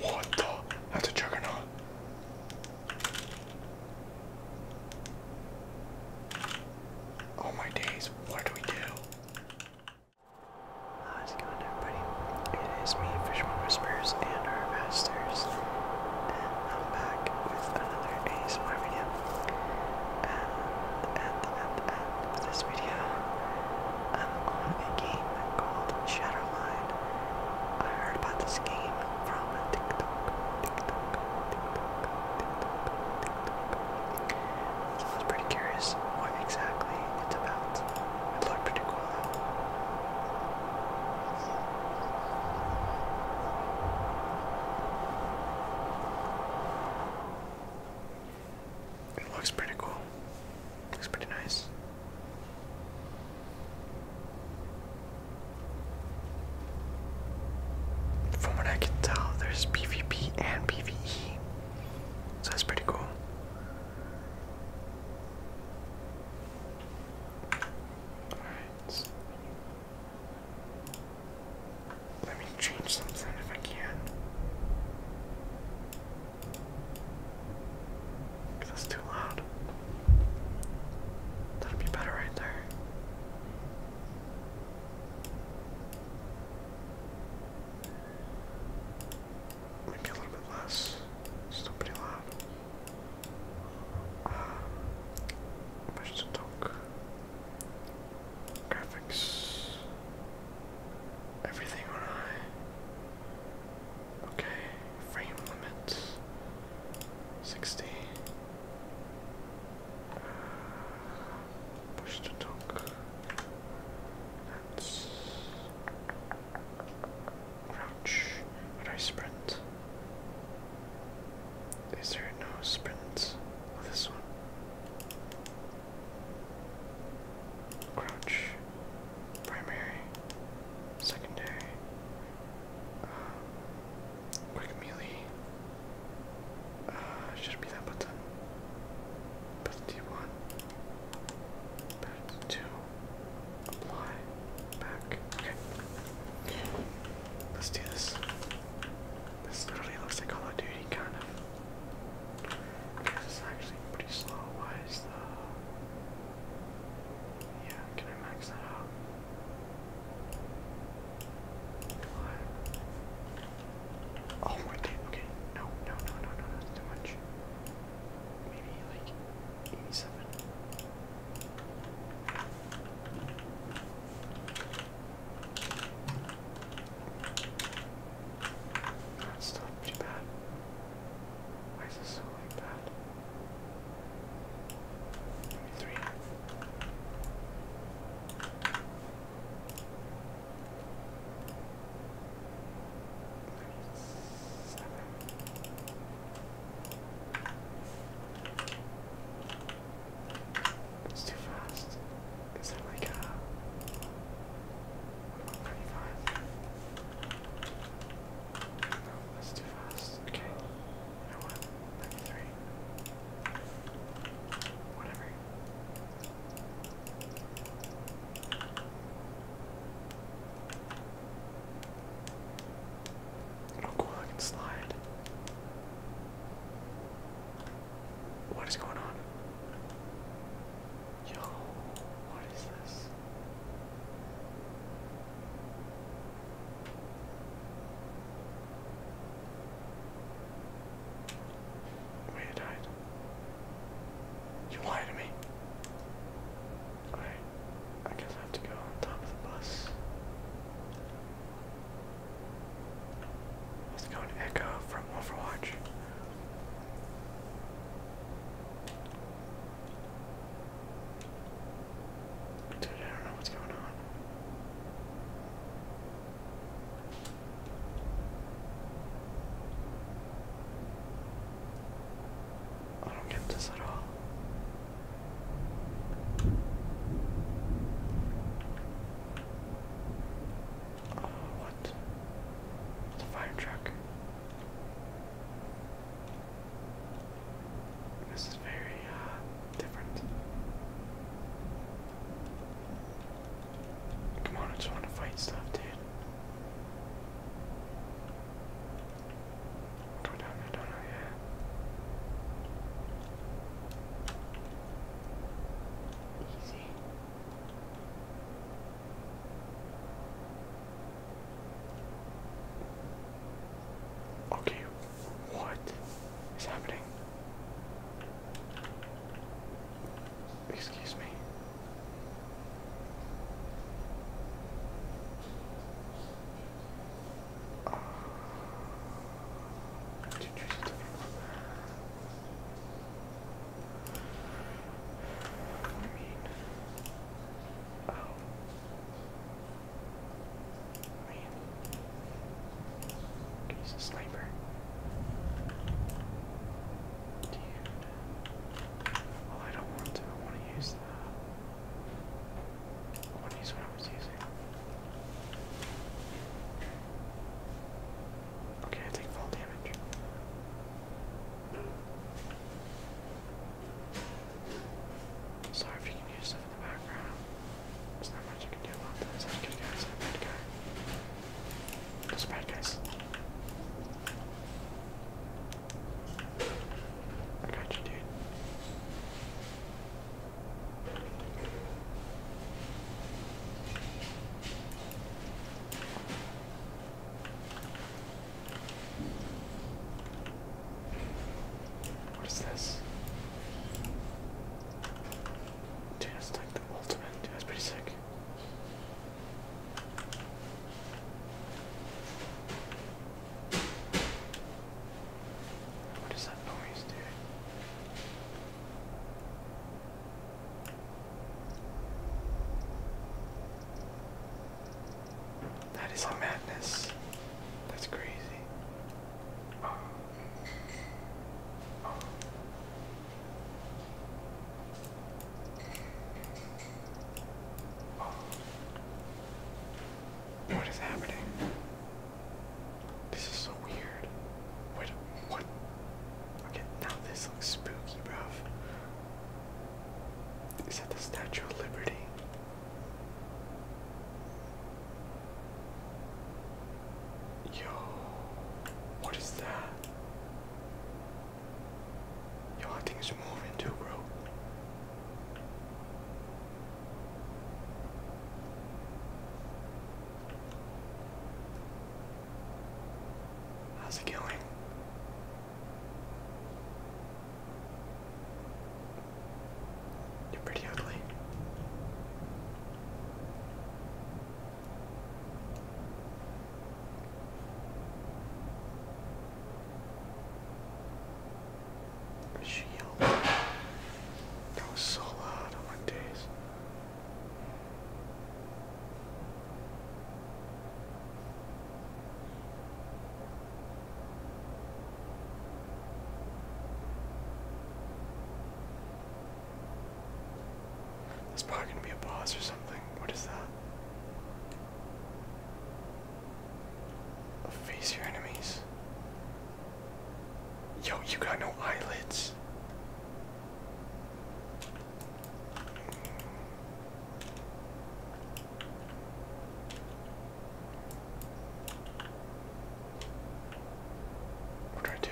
What the? That's a juggernaut. Oh my days, what do we do? How's ah, it It is me, Fishman Whispers, and our masters, and I'm back with another ASMR video. And at the, at this video, I'm on a game called Shadowline. I heard about this game from TikTok, So I was pretty curious what exactly it's about. It looked pretty cool It looks pretty cool. Looks pretty nice. From what I can tell, there's PvP and PvE. So that's pretty cool. All right. Let me change something if I can. Cause that's too loud. That'd be better right there maybe a little bit less. Still pretty loud. push um, to talk. Graphics. Everything on high. Okay. Frame limit. Sixty. Uh, push to talk crouch. How I sprint? Is there no sprints? on this one? Crouch. Primary. Secondary. Um, quick melee. Uh, should be that button. But do Back to Back. Okay. Let's do this. This literally looks like Call of Duty, kind of. This is actually pretty slow. Why is Yeah, can I max that out? What? Oh, Okay. No, no, no, no, no. That's too much maybe like 87. That's still pretty bad. Why is this so like bad? three. It's too fast. Is there like a what about 35? No, that's too fast. Okay. You know what? 93. Whatever. Oh cool, I can slide. What is going on? Yo, what is this? Wait, died. You lied to me. Alright, I guess I have to go on top of the bus. Let's go and Echo from Overwatch. Dude, I don't know what's going on. I don't get this at all. Oh, what? The fire truck. This is very uh, different. Come on, I just want to fight stuff, dude. Go down there, down there, Easy. Okay, what is happening? Excuse me. Oh. I mean, oh, man, he's sniper, dude. Well, I don't want to. I want to use that. I want to use what I was using. Okay, I take fall damage. Sorry if you can use stuff in the background. There's not much I can do about this. i good guys, I'm those are bad guys. I got you, dude. What is this? Dude, that's like the ultimate. Dude, that's pretty sick. What is that noise, dude? That is a madness. That's crazy. Oh. Oh. What is happening? This is so weird. Wait, what? Okay, now this looks spooky, bruv. Is that the Statue of Liberty? Yo, what is that? Yo, things are moving too, bro. How's it going? You're pretty ugly. Shield. That was so loud on my days. That's probably gonna be a boss or something. What is that? Face your enemies. Yo, you got no eyelids. What do I do?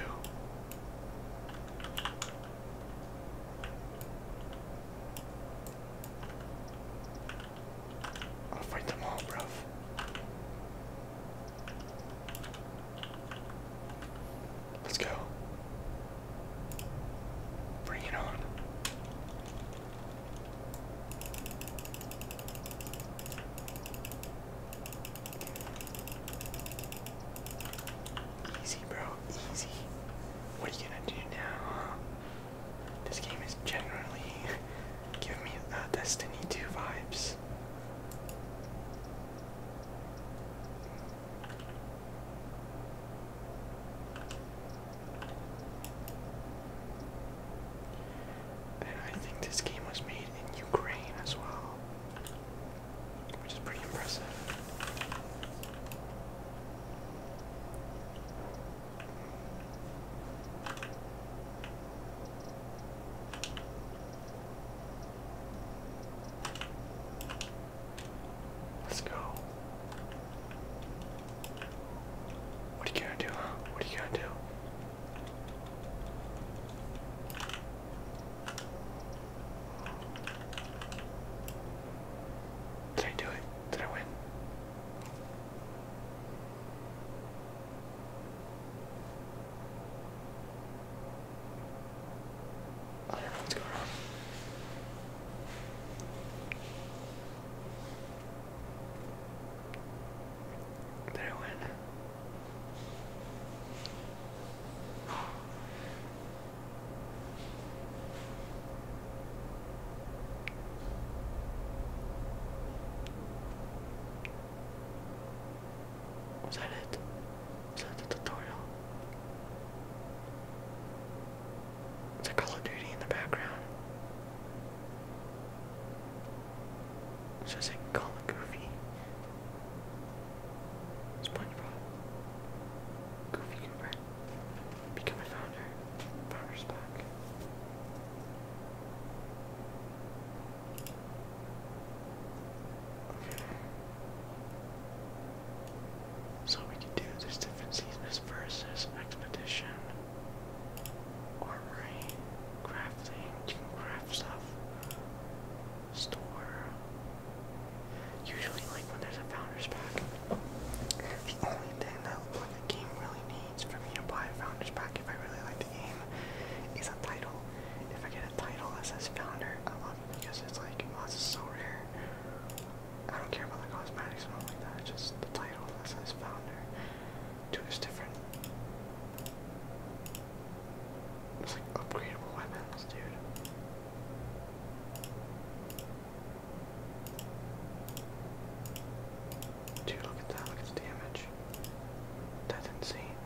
I'll fight them all, bruv. Let's go. Bring it on. Easy, bro. Easy. What are you gonna do now? This game is generally giving me a uh, Destiny 2 vibes. And I think this game was made in Ukraine as well, which is pretty impressive. Let's go. What are you gonna do? What are you gonna do? Did I do it? Did I win? I oh, do going on. Did I win? Was that it? Was that the tutorial? It's a Call of Duty in the background. So it's like Call of Goofy. SpongeBob. Goofy Cooper. Become a founder. Founder's pack. So we can do this different seasons versus expedition. Armory, crafting, craft stuff. Store, Usually, like when there's a founders pack, the only thing that like a game really needs for me to buy a founders pack if I really like the game is a title. If I get a title that says founder, I love it because it's like, oh, this so rare. I don't care about the cosmetics and all like that. Just the title that says founder. Dude, is different. It's like upgradable weapons, dude. Dude, look at that, look at the damage. That's insane.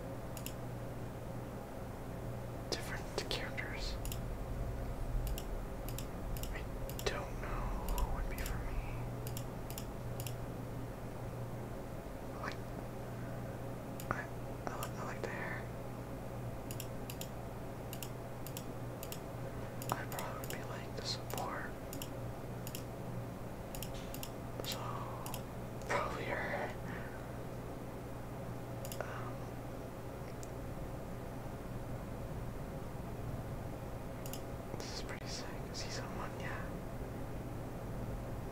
Different characters. I don't know who would be for me. Like, I, I, I like the hair. I probably would be like the support. So probably her. Um, pretty sick. Is see someone? Yeah.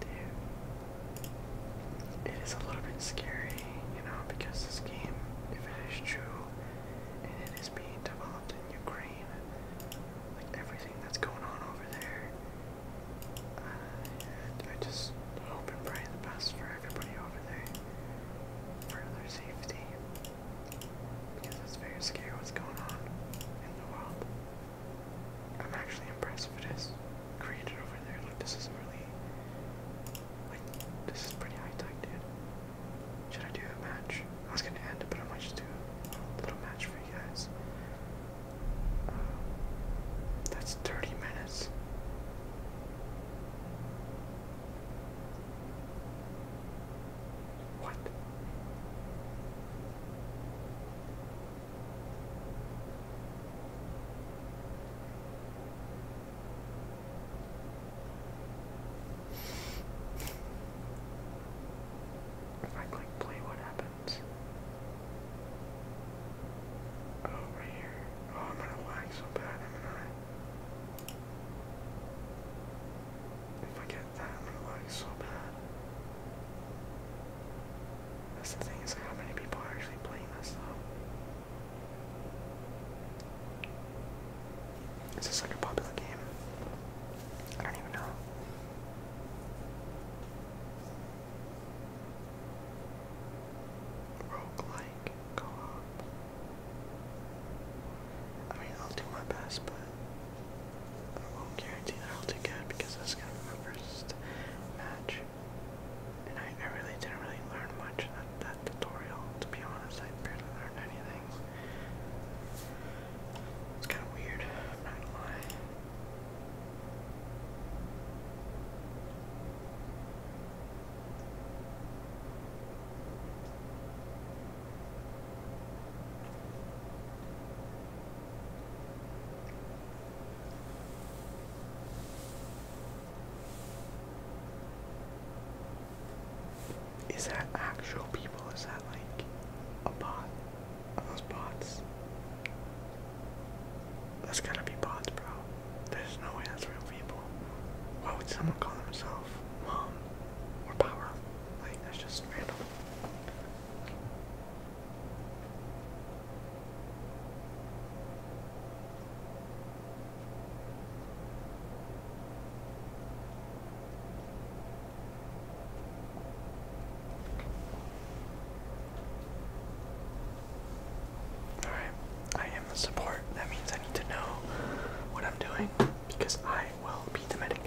Dude. It is a little bit scary, you know, because this game, if it is true, and it is being developed in Ukraine. Like everything that's going on over there. Uh, I just hope and pray the best for everybody over there for their safety. Because it's very scary what's going on in the world. I'm actually impressed with this created over there. Like this is really this is pretty high tech, dude. Should I do a match? I was gonna end it, but I might just do little match for you guys. Um, that's 30 minutes. What? If I click play, what happens? Oh, here. Oh, I'm gonna lag so bad, If I get that, I'm gonna lag so bad. That's the thing is, how many people are actually playing this though? Is this like a popular game? I don't even know. Roguelike co op. I mean, I'll do my best, but I won't guarantee that I'll do good because that's gonna be my first match. And I, I really didn't really learn that, tutorial. To be honest, I barely learned anything. It's kind of weird, not gonna lie. Is that actual people? Is that like a bot? Are those bots? That's gotta be bots, bro. There's no way that's real people. Why would someone call themselves mom or power? Like, that's just random. Alright, I am the support. That means I need to know what I'm doing because I will be the medic.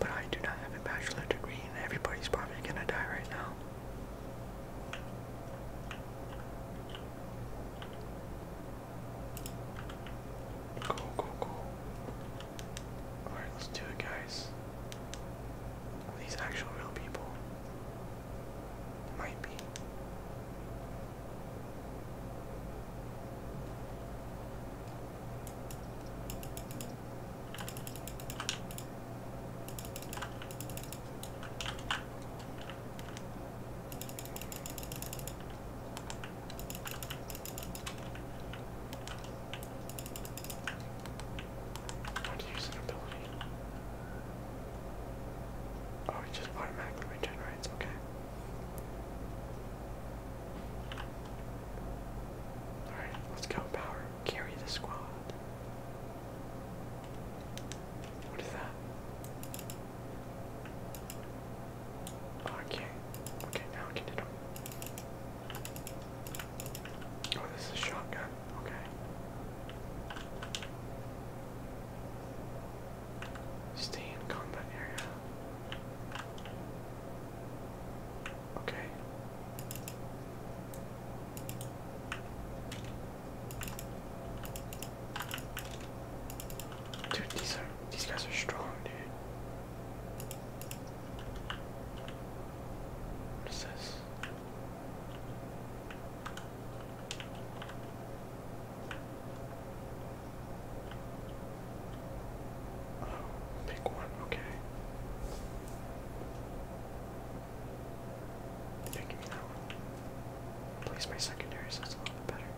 But I do not have a bachelor degree and everybody's probably gonna die right now. Go, go, go. Alright, let's do it, guys. these actual real people? Might be. How to use an ability. Oh, it just automatically regenerates, okay. Alright, let's go power. Carry the squad. What is that? Okay. Oh, okay, now I can Oh, this is shotgun. Okay. Stay in combat area. Okay. Dude, these are these guys are strong, dude. What is this? Oh, pick one, okay. I give me that one? At my secondary, so that's a little bit better.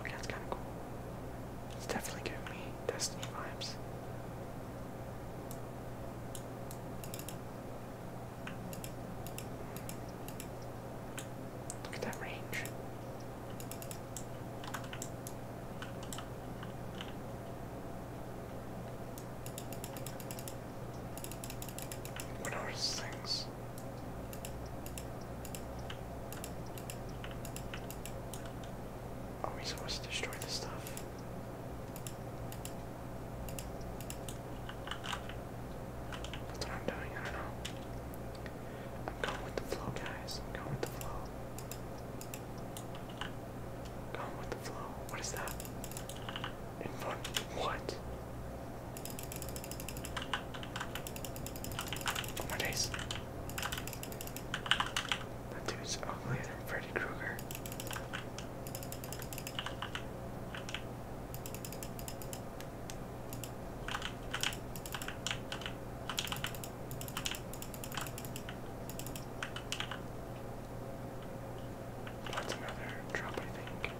Okay, that's kind of cool. It's definitely giving me Destiny vibes. Look at that range. What are those things? Are oh, we supposed to destroy this stuff? That's what i doing, I don't know. I'm going with the flow, guys. going with the flow. Going with the flow. What is that? What? Oh days. That dude's uglier Freddy Krueger. That's another drop, I think.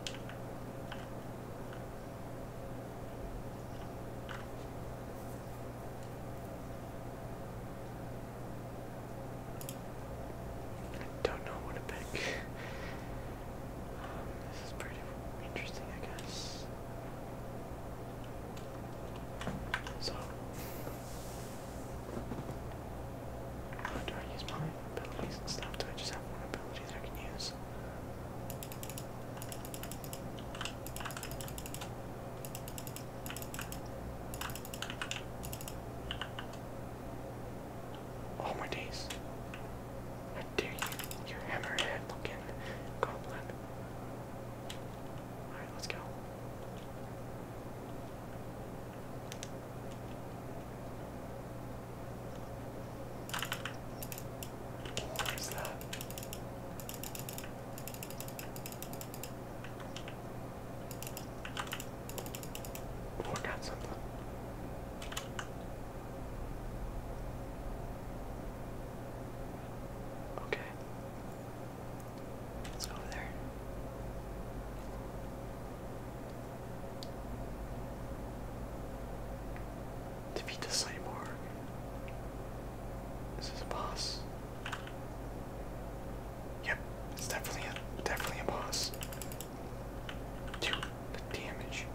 I Don't know what to pick. Um, this is pretty interesting, I guess. So, do I use my abilities and stuff? Do I just have one ability? technology I my days. How dare you, your hammerhead looking goblin. Alright, let's go. What is that? Oh, something. Okay. Let's go over there. To beat the cyborg. Is this a boss? Yep, it's definitely a definitely a boss. Dude, the damage.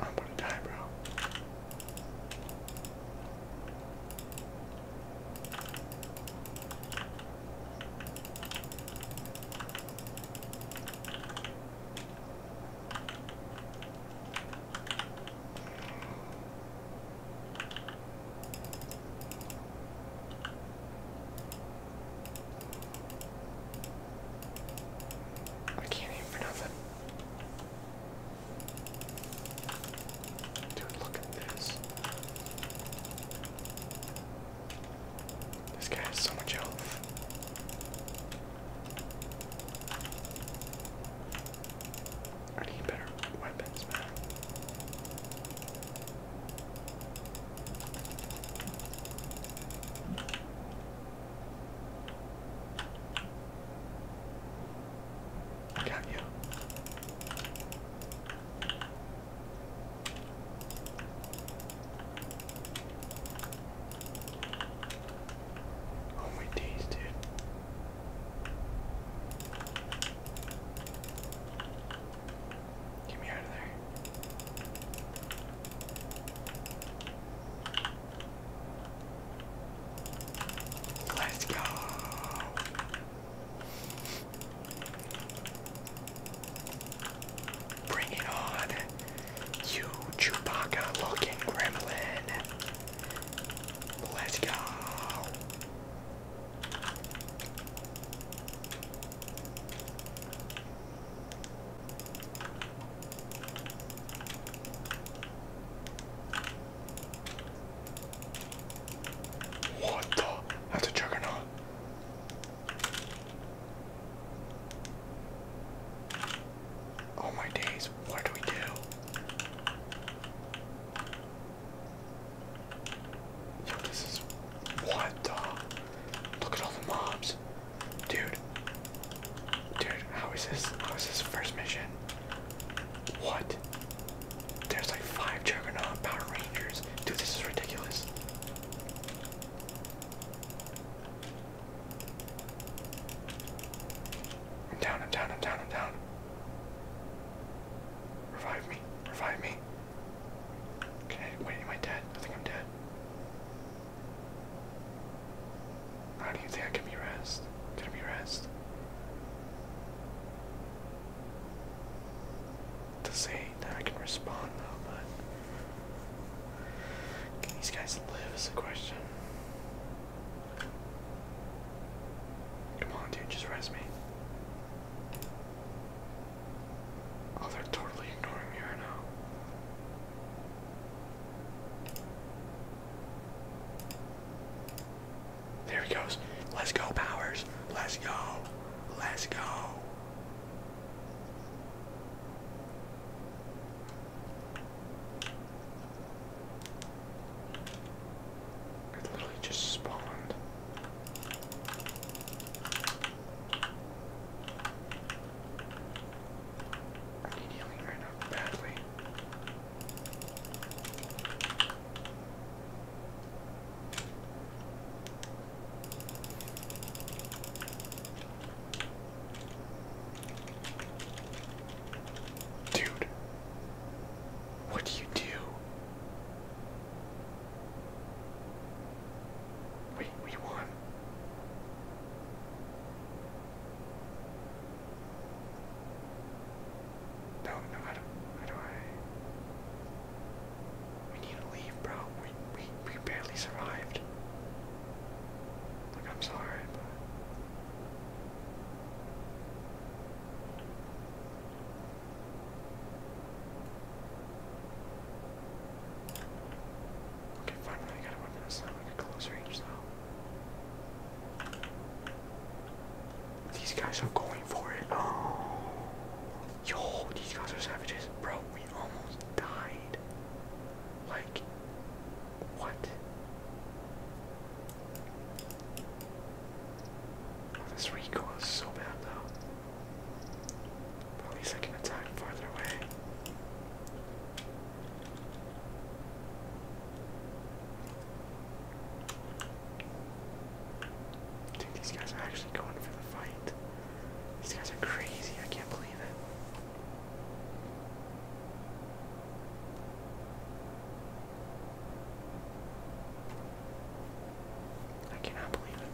I'm gonna die, bro. I can't aim for nothing. Dude, look at this. This guy has so much health. I need better weapons, man. Can you? Oh my days, dude. Get me out of there. Let's go. Bring it on, you Chewbacca looking gremlin. Let's go. What the? That's a juggernaut. Oh my days, what do we do? Yo, this is. What the? Look at all the mobs. Dude. Dude, how is this? How is this first mission? What? There's like five Juggernaut Power Rangers. Dude, this is ridiculous. I'm down, i down, i down, i down. Revive me, revive me. Okay, wait, am I dead? I think I'm dead. How do you think I can be rest? Can it be rest? To say that I can respond though, but can these guys live is the question. Come on, dude, just rest me. Oh, they're totally ignoring me right now. There he goes. Let's go, Powers. Let's go. Let's go. It literally just spawned. I need healing right now badly. Dude, what do you do? Wait, we won don't. How do I? We need to leave, bro. We we we barely survived. Like I'm sorry, but. Okay, finally I got a weapon that's not like a close range though. These guys are going for it. Oh. Yo, these guys are savages. Bro, we almost died. Like, what? Oh, this recoil is so bad, though. at least I can attack farther away. Dude, these guys are actually going for the fight. These guys are crazy. I can't believe it. I cannot believe it.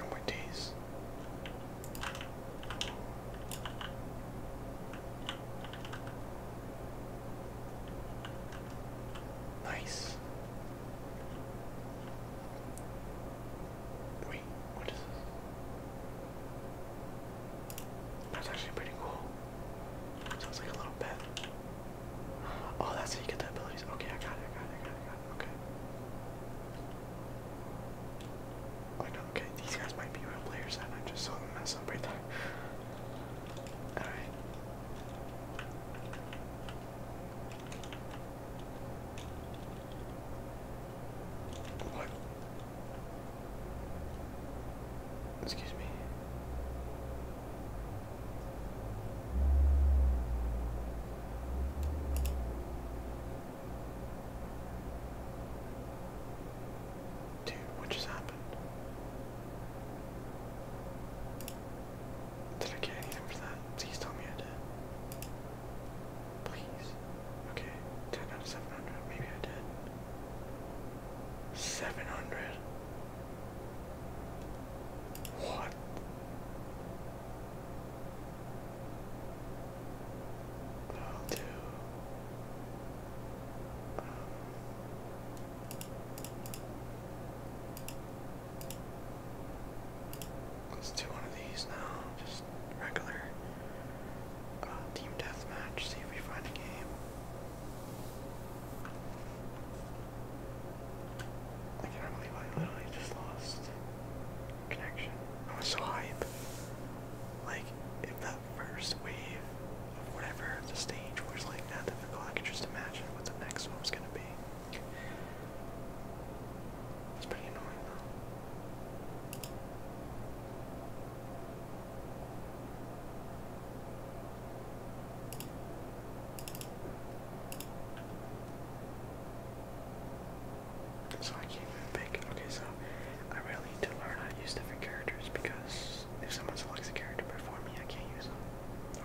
Oh, my days. Nice. Wait, what is this? That's actually pretty cool. Sounds like a little pet. Oh, that's how you get the abilities. Okay, I got it, I got it, I got it, I got it. these guys might be real players and I just saw them mess up right there. Alright. Excuse me. Dude, what just happened? Did I get anything for that? Please tell me I did. Please. Okay, 10 out of 700. Maybe I did. 700. What? i um, let's do one of these now. Just regular uh, team deathmatch, see if we find a game. I can't believe I literally just lost connection. I was so hyped. Like, if that first wave of whatever the stage was like that difficult, I could just imagine what the next one was gonna be. It's pretty annoying So I can't even Okay, so I really need to learn how to use different characters because if someone selects a character before me, I can't use them.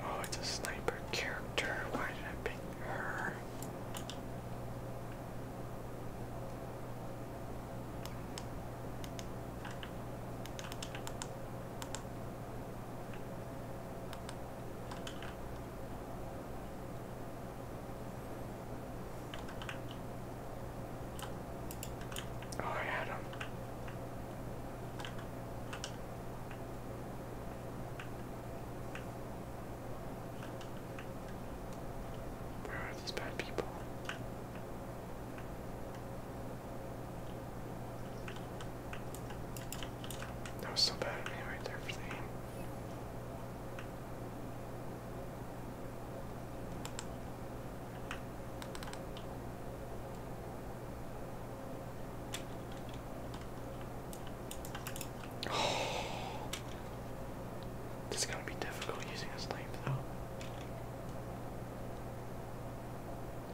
Oh, it's a sniper character. Why did I pick her? Oh, I had him. Where are these bad people? That was so bad of me right there for the aim. This is gonna be difficult using a snipe though.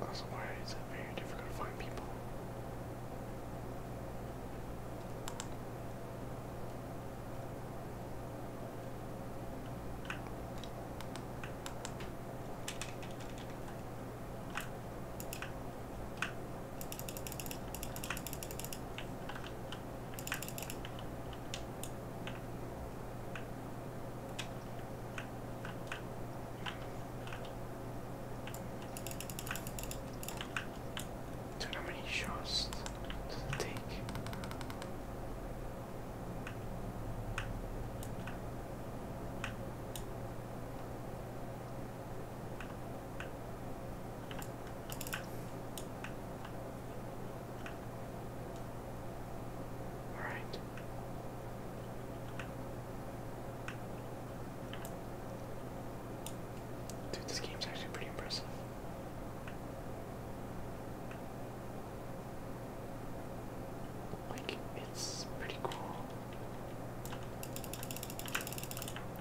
Also, why is it very difficult to find people? Dude, how many shots does it take? All right. Dude, this game's actually pretty impressive. it's pretty cool.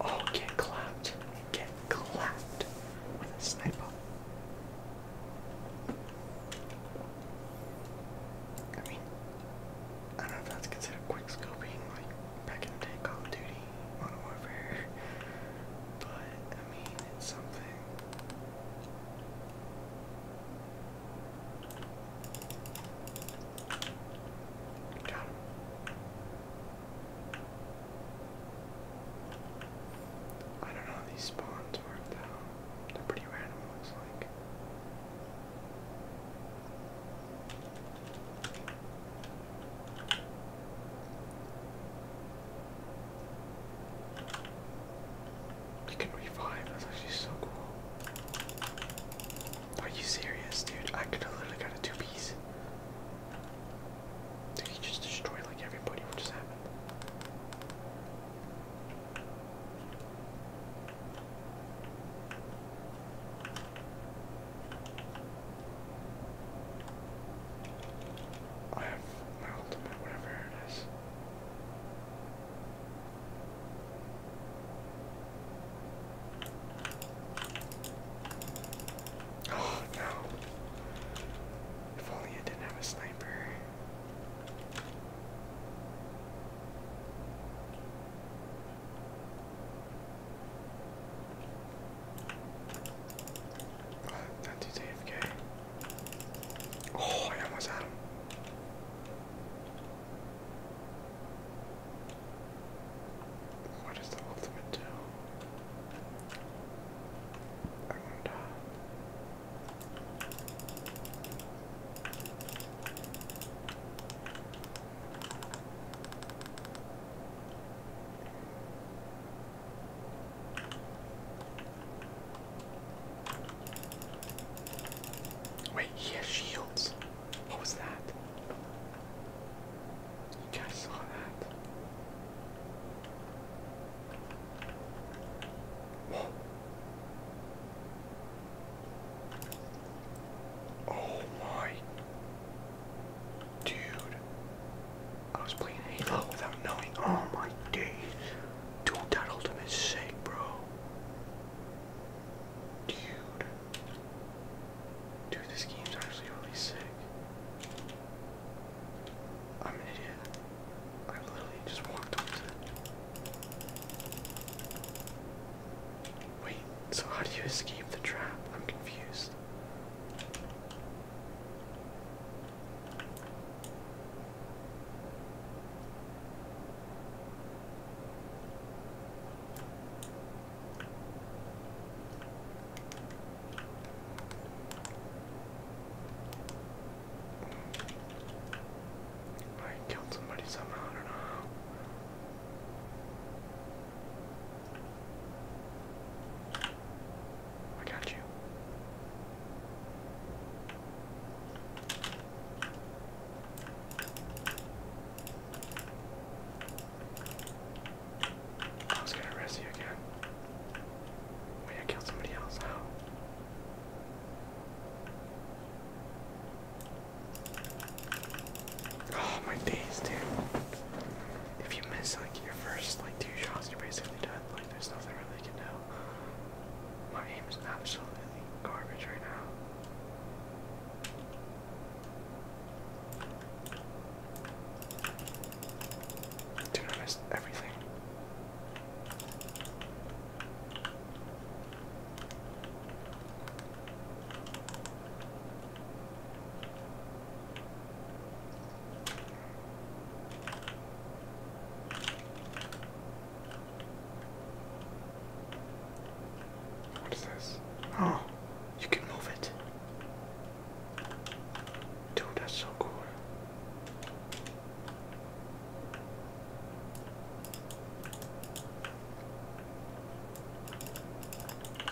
Oh, get clapped. Get clapped with a sniper. I mean, I don't know if that's considered quick scoping, like back in the day, Call of Duty, Modern Warfare, but I mean, it's something. I don't know how these spawns work though. They're pretty random, looks like. You can revive, that's actually so cool. Are you serious, dude? I could have literally got a two piece. Did he just destroy like everybody? What just happened? I have my ultimate, whatever it is. Oh no. If only I didn't have a sniper. Oh, that dude's Oh, I almost had what does the ultimate do? I wonder. Wait, he has shields. What was that? You guys saw that? Oh my dude. I was playing Halo without knowing. Oh my days. Dude, that ultimate is bro. Dude. Dude, this game's actually really sick. I'm an idiot. I literally just walked towards it. Wait, so how do you escape the trap? I'm confused. I killed somebody somehow, I don't know I got you. I was gonna arrest you again. Wait, I killed somebody else. Oh my days, dude. If you miss like your first like two shots, you're basically dead. Like there's nothing really you can do. My aim is absolutely garbage right now. Dude, I miss everything. What is this? Oh, you can move it. Dude, that's so cool.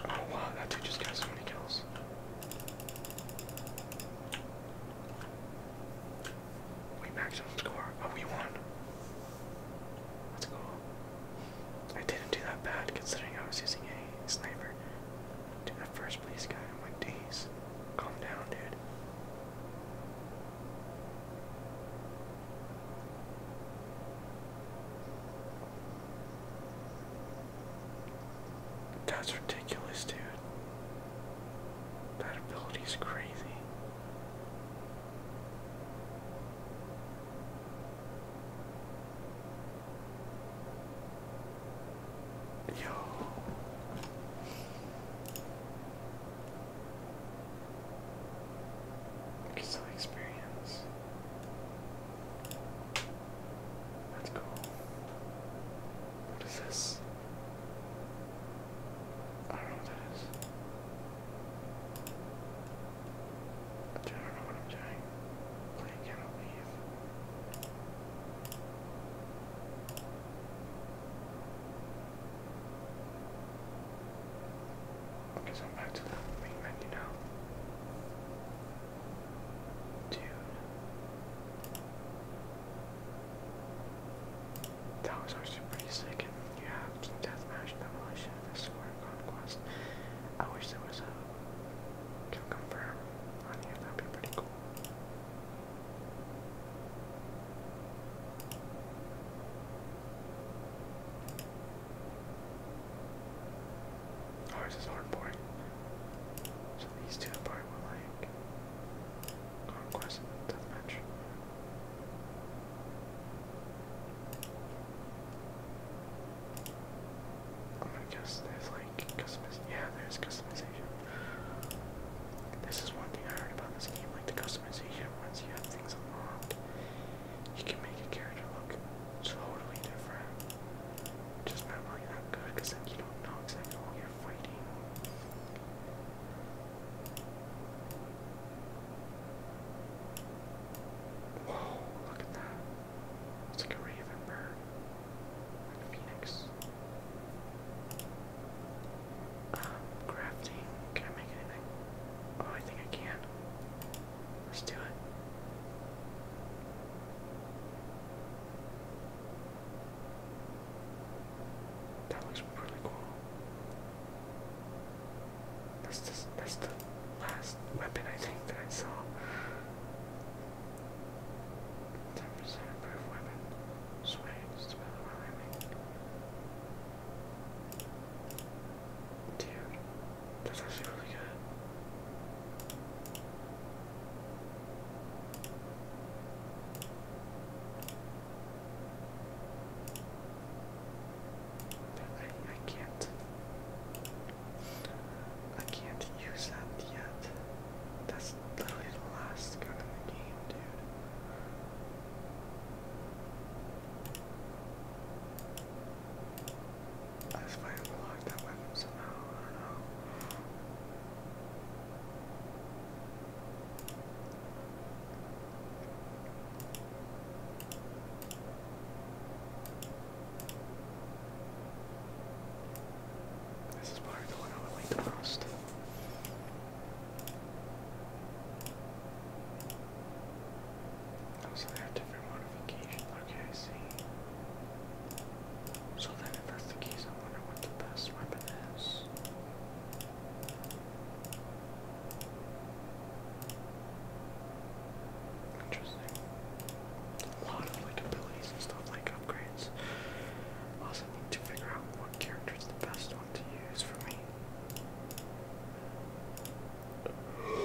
Oh wow, that dude just got so many kills. We maximum score. Oh, we won. Let's go. I didn't do that bad considering I was using a sniper. Dude, that first place guy, I'm like, days. Calm down, dude. That's ridiculous, dude. That ability is crazy. Yo. Still experience. That's cool. What is this? I don't know what that is. I don't know what I'm doing. Play cannot leave. Okay, so I'm back to the main menu now. Dude. That was actually pretty sick you have Deathmatch, Demolition, Escort, Conquest. I wish there was a kill confirm on here, that'd be pretty cool. Ours is hardboard. So these two are probably like Conquest Deathmatch. I'm oh going there's like customiz yeah, there's customization. This is one thing I heard about this game, like the customization once you have things unlocked. You can make a character look totally different. Just not really that good because you don't know exactly what you're fighting. Whoa, look at that. It's like a raven bird. And a phoenix. Um, crafting. Can I make anything? Oh, I think I can. Let's do it. That looks really cool. That's the last weapon I think that I saw. Ten percent improved weapon. Swings to better while aiming. Dude, that's actually really good. I, I can't. I can't use that yet. That's literally the last gun in the game, dude. I just might unlock that weapon somehow. I don't know. This is probably the one I would like the most. Oh, they have different modifications. Okay, I see. So then if that's the case, I wonder what the best weapon Interesting. A lot of like abilities and stuff like upgrades. Also need to figure out what character is the best one to use for me.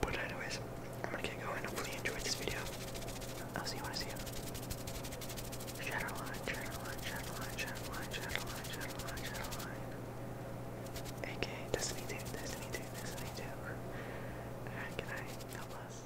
But anyways, I'm gonna get going. Hopefully enjoyed this video. I'll see you when I see you. Shadowline, Shadowline, Shadowline, Shadowline, Shadowline, Shadowline, Shadowline aka Destiny 2, Destiny 2, Destiny 2. Alright, good night. God bless.